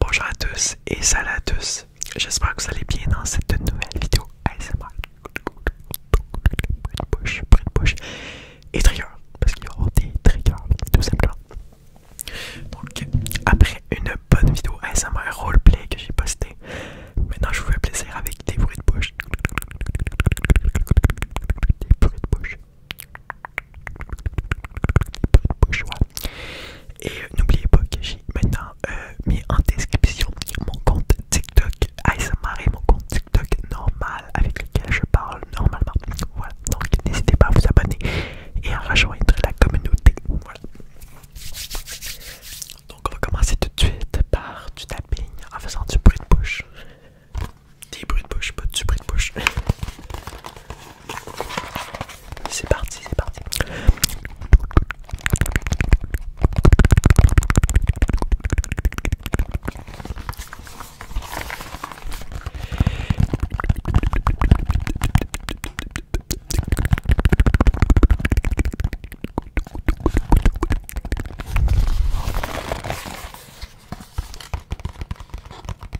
Bonjour à tous et salut à tous, j'espère que vous allez bien dans cette nouvelle vidéo ASMR de bouche, de et trigger, parce qu'il y aura des triggers tout simplement Donc après une bonne vidéo ASMR roleplay que j'ai postée, maintenant je vous fais plaisir avec des bruits de bouche de bouche, et euh, n'oubliez pas que j'ai maintenant euh, mis en description mon compte TikTok ASMR mon compte TikTok normal avec lequel je parle normalement. Voilà, donc n'hésitez pas à vous abonner et à rejoindre la communauté. Voilà. Donc on va commencer tout de suite par du tapping en faisant du bruit de bouche. Des bruits de bouche, pas du bruit de bouche. C'est parti, c'est parti.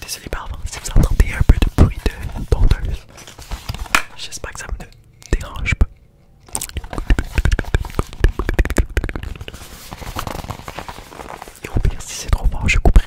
Désolé pardon si vous entendez un peu de bruit de tondeuse. J'espère que ça me dérange pas. Et au si c'est trop fort je couperai.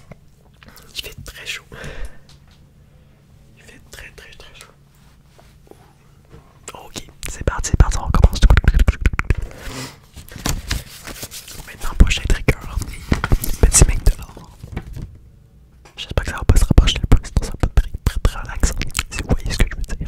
Il fait très chaud. Il fait très très très chaud. Ok, c'est parti, c'est parti, on recommence. Maintenant, prochain trigger. Petit mec de l'or. J'espère que ça va pas se rapprocher le plus, ça va être très, très relaxant. Si vous voyez ce que je veux dire.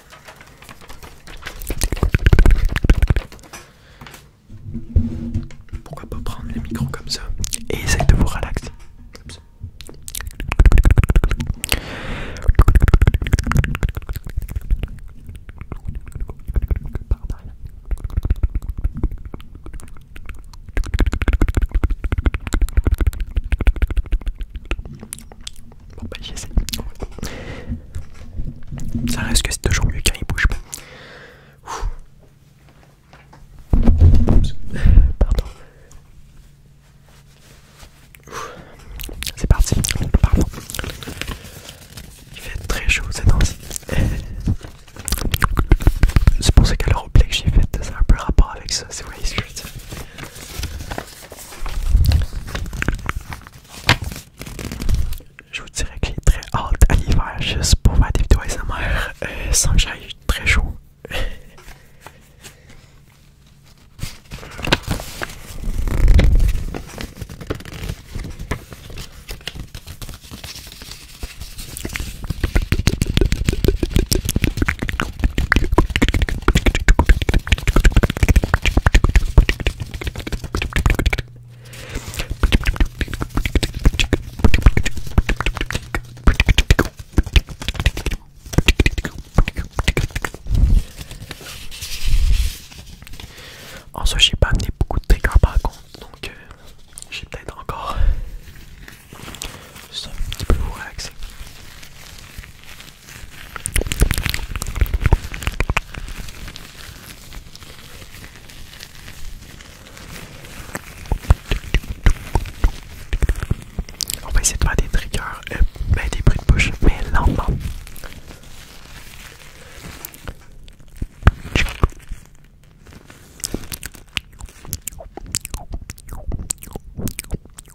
Pourquoi pas prendre le micro comme ça et essayer de vous relaxer Bon bah j'essaie. Ça reste que c'est toujours mieux quand il bouge pas. Pardon. C'est parti. Pardon. Il fait très chaud c'est dans. C'est pour ça qu'à le replay que j'ai fait, ça a un peu rapport avec ça, c'est vrai, je vous dirais que j'ai très hâte à l'hiver juste pour faire des vidéos ASMR euh, sans que j'aille très chaud. En j'ai pas amené beaucoup de trucs par contre, donc euh, j'ai peut-être encore euh, un petit peu vous relaxer. On va essayer de faire des triggers, euh, ben, des bruits de bouche, mais lentement.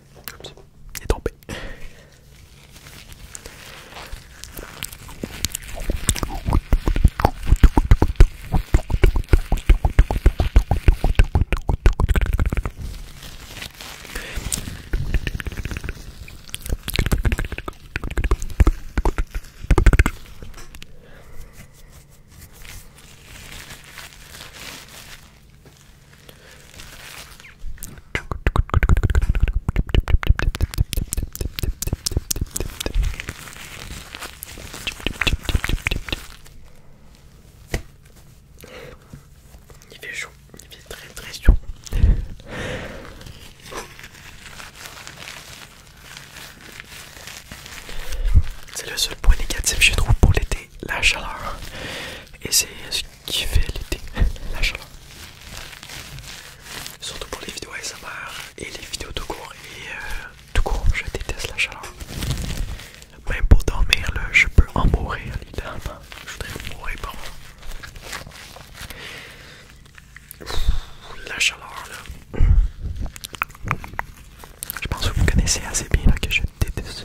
Et il tombé. Il fait chaud, il fait très très chaud. C'est le seul point négatif je trouve pour l'été la chaleur. Et c'est ce qui fait l'été, la chaleur. Surtout pour les vidéos ASMR et les vidéos de cours Et de euh, cours, je déteste la chaleur. Même pour dormir, là, je peux en mourir, littéralement. Je voudrais mourir par La chaleur, là. Je pense que vous connaissez assez bien là, que je déteste.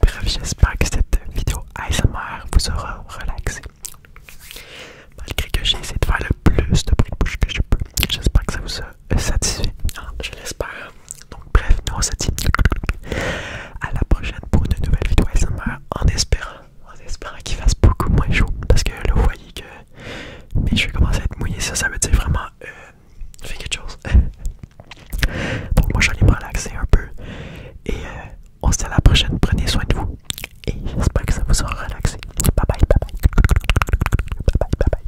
Bref, j'espère que cette vidéo ASMR vous aura relaxé. Malgré que j'ai essayé de faire le plus de bruit de bouche que je peux, j'espère que ça vous a satisfait. Ah, je l'espère. Donc bref, nous on se dit à la prochaine pour une nouvelle vidéo en espérant, en espérant qu'il fasse beaucoup moins chaud. Parce que là vous voyez que je vais commencer à être mouillé, ça ça veut dire vraiment euh, fais quelque chose. Donc moi j'allais me relaxer un peu et euh, on se dit à la prochaine, prenez soin de vous et j'espère que ça vous aura relaxé. bye bye bye bye